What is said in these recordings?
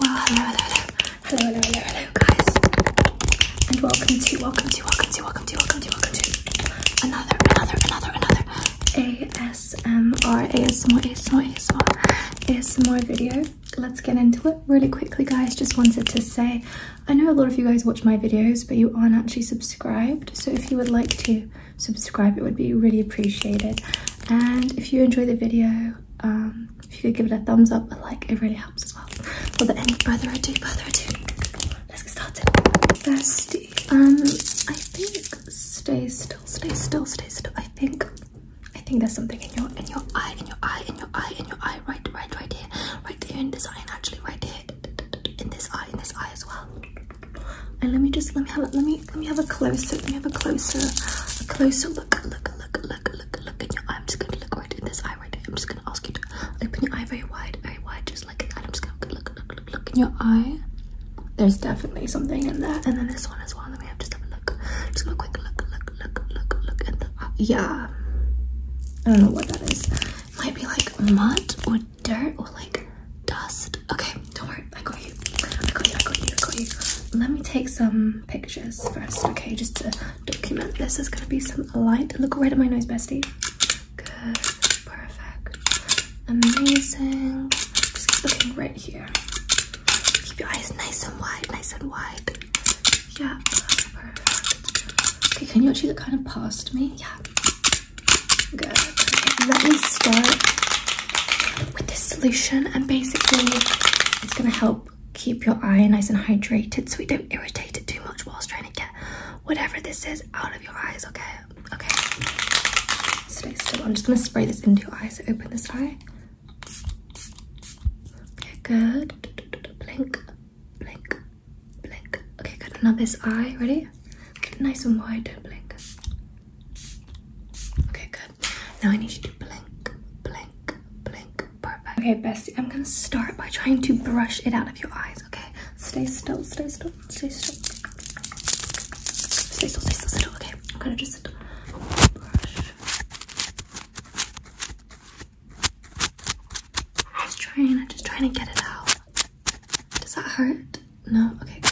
Well, hello, hello, hello, hello, hello, hello, hello, guys, and welcome to, welcome to, welcome to, welcome to, welcome to, welcome to another, another, another, another ASMR, ASMR, ASMR, ASMR, ASMR video. Let's get into it really quickly, guys. Just wanted to say, I know a lot of you guys watch my videos, but you aren't actually subscribed. So if you would like to subscribe, it would be really appreciated. And if you enjoy the video, um, if you could give it a thumbs up a like it really helps as well without any further ado further ado let's get started thirsty um i think stay still stay still stay still i think i think there's something in your in your eye in your eye in your eye in your eye right right right here right there in this eye and actually right here in this eye in this eye as well and let me just let me have it let me me let me have a closer let me have a closer a closer look look look look look look in your eye. I'm just gonna look right in this eye right here. I'm just gonna ask you to open your eye very wide, very wide, just like that. I'm just gonna look look look look in your eye. There's definitely something in there. And then this one as well. Let me have just have a look. Just have a quick look, look, look, look, look in the eye. Yeah. I don't know what that is. It might be like mud or dirt or like dust. Okay, don't worry. I got you. I got you. I got you. I got you. Let me take some pictures first, okay? Just to document this. There's gonna be some light. Look right at my nose, bestie. Good. Perfect. Amazing. Just looking right here. Keep your eyes nice and wide, nice and wide. Yeah. Okay, can you actually look kind of past me? Yeah. Good. Okay, let me start with this solution and basically it's going to help keep your eye nice and hydrated so we don't irritate it too much whilst trying to get whatever this is out of your eyes okay okay so, so i'm just going to spray this into your eyes. open this eye okay good blink blink blink okay good now this eye ready nice and wide do blink okay good now I need you to blink, blink, blink. Perfect. Okay, bestie, I'm gonna start by trying to brush it out of your eyes, okay? Stay still, stay still, stay still. Stay still, stay still, stay still. Okay, I'm gonna just brush. Just trying, I'm just trying to get it out. Does that hurt? No? Okay, good.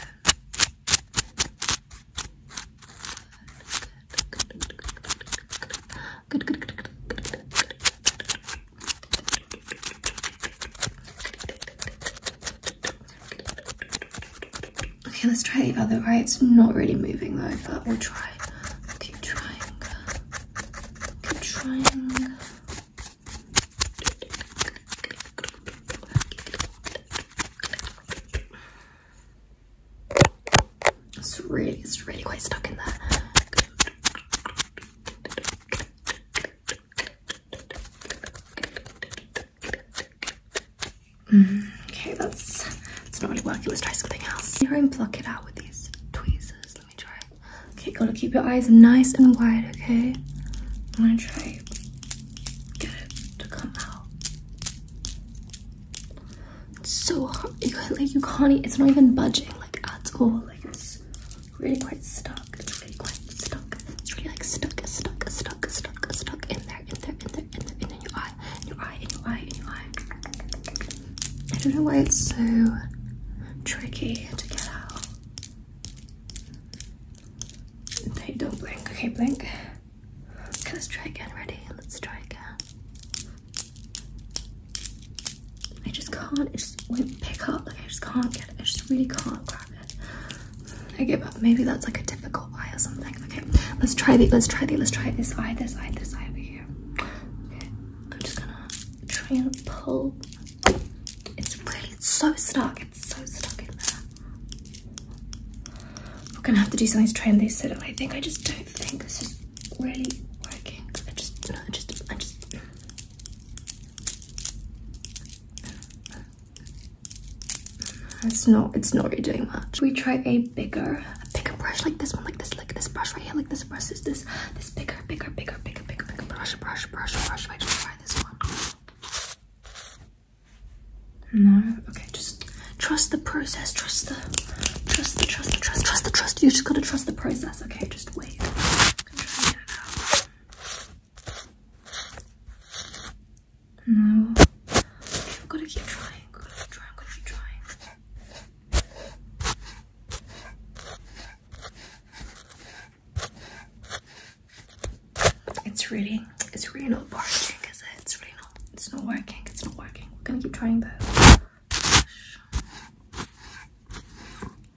Okay, let's try the other eye. It's not really moving though, but we'll try. keep trying. Keep trying. It's really, it's really quite stuck in there. Mm-hmm. okay, that's it's not really working. Let's try something else. Try and pluck it out with these tweezers. Let me try. Okay, gotta keep your eyes nice and wide. Okay, I'm gonna try get it to come out. It's so hard. You can't, like you can't. It's not even budging like at all. Like it's really quite stuck. It's really quite stuck. It's really like stuck, stuck, stuck, stuck, stuck in there, in there, in there, in there, in, there, in your eye, in your eye, in your eye, in your eye. I don't know why it's so tricky to get out. They don't blink. Okay, blink. Okay, let's try again. Ready? Let's try again. I just can't. It just won't pick up. Like I just can't get it. I just really can't grab it. I give up. Maybe that's like a difficult eye or something. Okay, let's try the. Let's try the. Let's try this eye. This eye. This eye over here. I'm just gonna try and pull. It's really it's so stuck. It's so stuck in there. We're gonna have to do something to try and loosen it. I think I just don't think this is really working. I just, no, I just, I just. It's not, it's not really doing much. We try a bigger, a bigger brush like this one, like this, like this brush right here, like this brush is this, this bigger, bigger, bigger, bigger, bigger, bigger brush, brush, brush, brush. If I just try this one. No? Okay, just trust the process. Trust the trust the trust the trust the trust. You just gotta trust the process, okay? Just wait. i No. gotta keep trying. I've gotta keep trying, I've gotta keep trying. It's really, it's really not working, Cause It's really not, it's not working, it's not working. We're gonna keep trying though.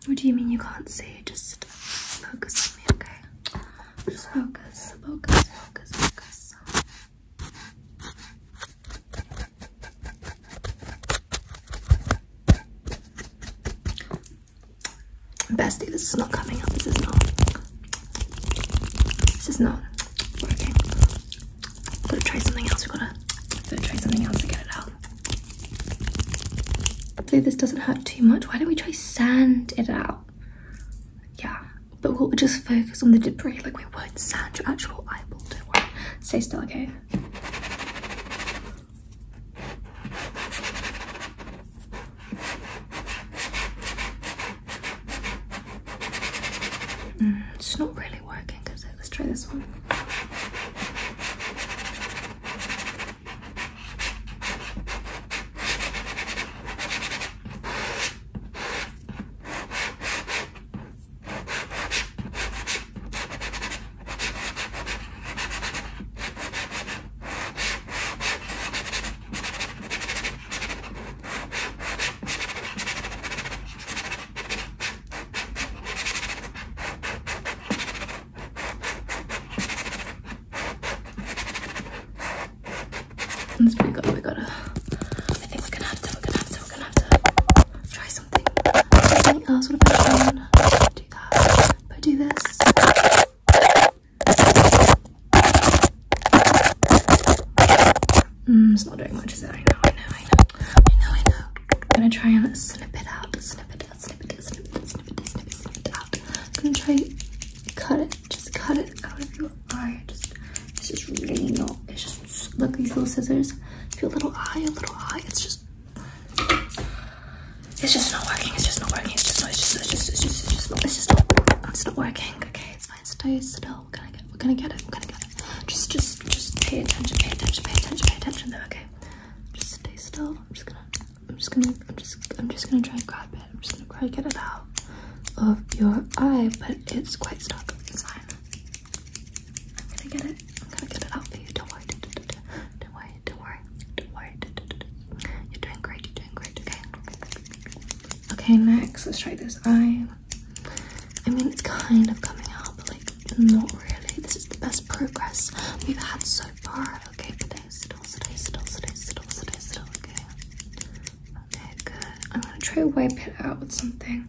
What do you mean you can't see? Just focus on me, okay? Just focus, focus, focus, focus. Bestie, this is not coming out. This is not. This is not working. We've gotta try something else. We gotta, gotta try something else to get it out. Hopefully this doesn't hurt too much. Why don't we try sand it out? Yeah, but we'll just focus on the debris. Like we won't sand your actual eyeball. Don't worry. still, okay? Mm, it's not really working, is Let's try this one. That's pretty good. We gotta. I think we're gonna have to. We're gonna have to. We're gonna have to try something. Something else. What about Sean? I do this. Mm, it's not doing much, is it? I know, I know, I know, I know, I know. I'm gonna try and snip it out, snip it out, snip it out, snip it, snip it, snip it, snip it out. I'm gonna try cut it, just cut it out of your eye. Just, it's just really not. It's just look these little scissors. Feel a little eye, a little eye, it's just it's just not working. It's just not working. It's just not. It's just. It's just. It's just. It's just not. It's just not. It's not working. Okay, it's fine. Stay still. We're gonna get. We're going get it. We're gonna get it. Just, just, just pay attention. Pay attention. Pay attention. Pay attention. Though. Okay. Just stay still. I'm just gonna. I'm just gonna. I'm just. I'm just gonna try and grab it. I'm just gonna try and get it out of your eye, but it's quite stuck. It's fine. I'm gonna get it. I'm gonna get it out for you. Don't worry. Don't worry. Don't worry. Don't worry. You're doing great. You're doing great. Okay. Okay. Next, let's try this eye. I mean, it's kind of coming out, but like not really. This is the best progress we've had so far. Okay. Today. Still. Today. Still. Today. Still. Today. Still. Okay. Okay. Good. I'm gonna try to wipe it out with something.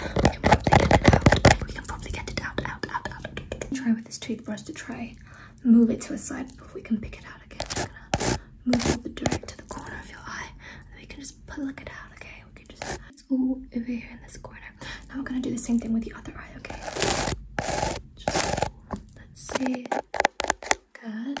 We can probably get it out. We can probably get it out, out, out, out. Try with this toothbrush to try move it to a side before we can pick it out again. We're gonna move all the dirt to the corner of your eye. And we can just pluck it out, okay? We can just it's all over here in this corner. Now we're gonna do the same thing with the other eye, okay? Just, let's see. Good.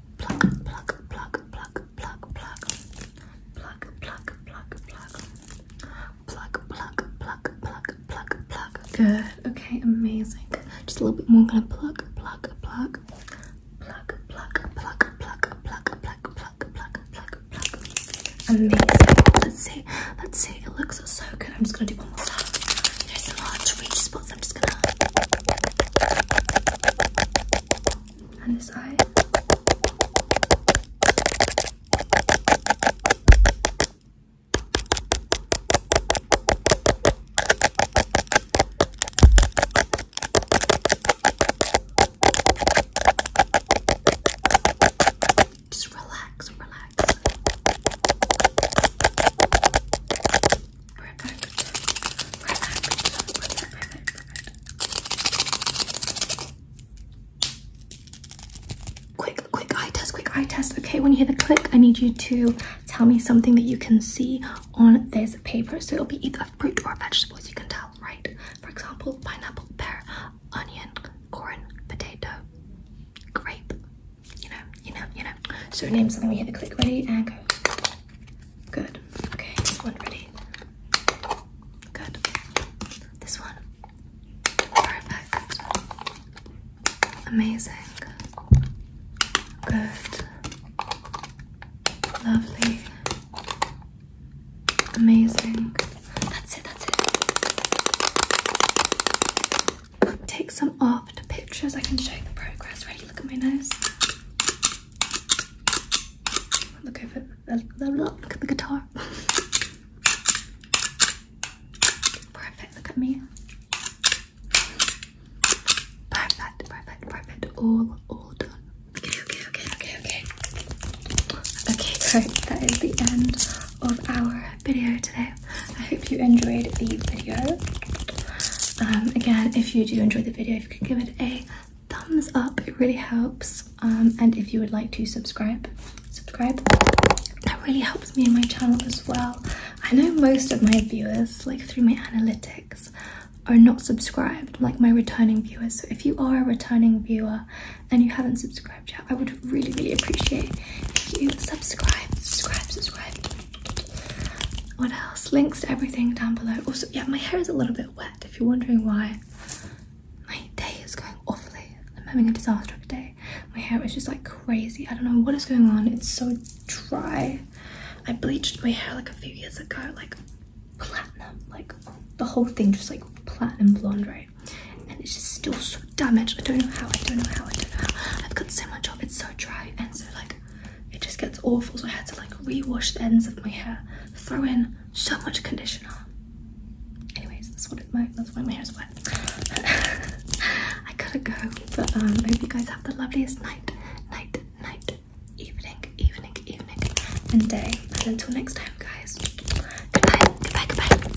Pluck, pluck, pluck, pluck, pluck, pluck. Pluck, pluck, pluck, pluck. Pluck, pluck, pluck, pluck, pluck, pluck. Good. Okay, amazing. Just a little bit more. I'm gonna pluck, pluck, pluck. Pluck, pluck, pluck, pluck, pluck, pluck, pluck, pluck, pluck, pluck. Amazing. Let's see. Let's see. It looks so good. I'm just gonna do one more step. There's a large reach spot else. this eye. Just relax, relax. Quick, quick eye test, quick eye test. Okay, when you hear the click, I need you to tell me something that you can see on this paper. So it'll be either fruit or vegetables. you can tell, right? For example, pineapple, pear, onion, corn, potato, grape, you know, you know, you know. So name something. We hit the click. Ready and go. Good. Okay. This one ready. Good. This one. Perfect. Amazing. Good. Lovely. Amazing. That's it, that's it take some after pictures. I can show you the progress. Ready? Look at my nose. Look over. Look at the guitar. Perfect. Look at me. Perfect. Perfect. Perfect. All, all done. Okay. Okay. Okay. Okay. Okay. Okay. Great. That is the end of our video today. I hope you enjoyed the video. Um, again, if you do enjoy the video, if you could give it a thumbs up, it really helps. Um, and if you would like to subscribe, subscribe. That really helps me and my channel as well. I know most of my viewers, like through my analytics, are not subscribed, like my returning viewers. So if you are a returning viewer and you haven't subscribed yet, I would really, really appreciate if you subscribe, subscribe, subscribe. What else? Links to everything down below. Also, yeah, my hair is a little bit wet if you're wondering why. My day is going awfully. I'm having a disaster of a day. My hair is just like crazy. I don't know what is going on. It's so dry. I bleached my hair like a few years ago, like platinum, like the whole thing just like platinum blonde, right? And it's just still so damaged. I don't know how, I don't know how, I don't know how. I've got so much off, it's so dry and so like it just gets awful. So I had to like rewash the ends of my hair, throw in so much conditioner. Anyways, that's what it my that's why my hair is wet. I gotta go. But um I hope you guys have the loveliest night, night, night, evening, evening, evening, and day. And until next time guys. Goodbye, goodbye, goodbye.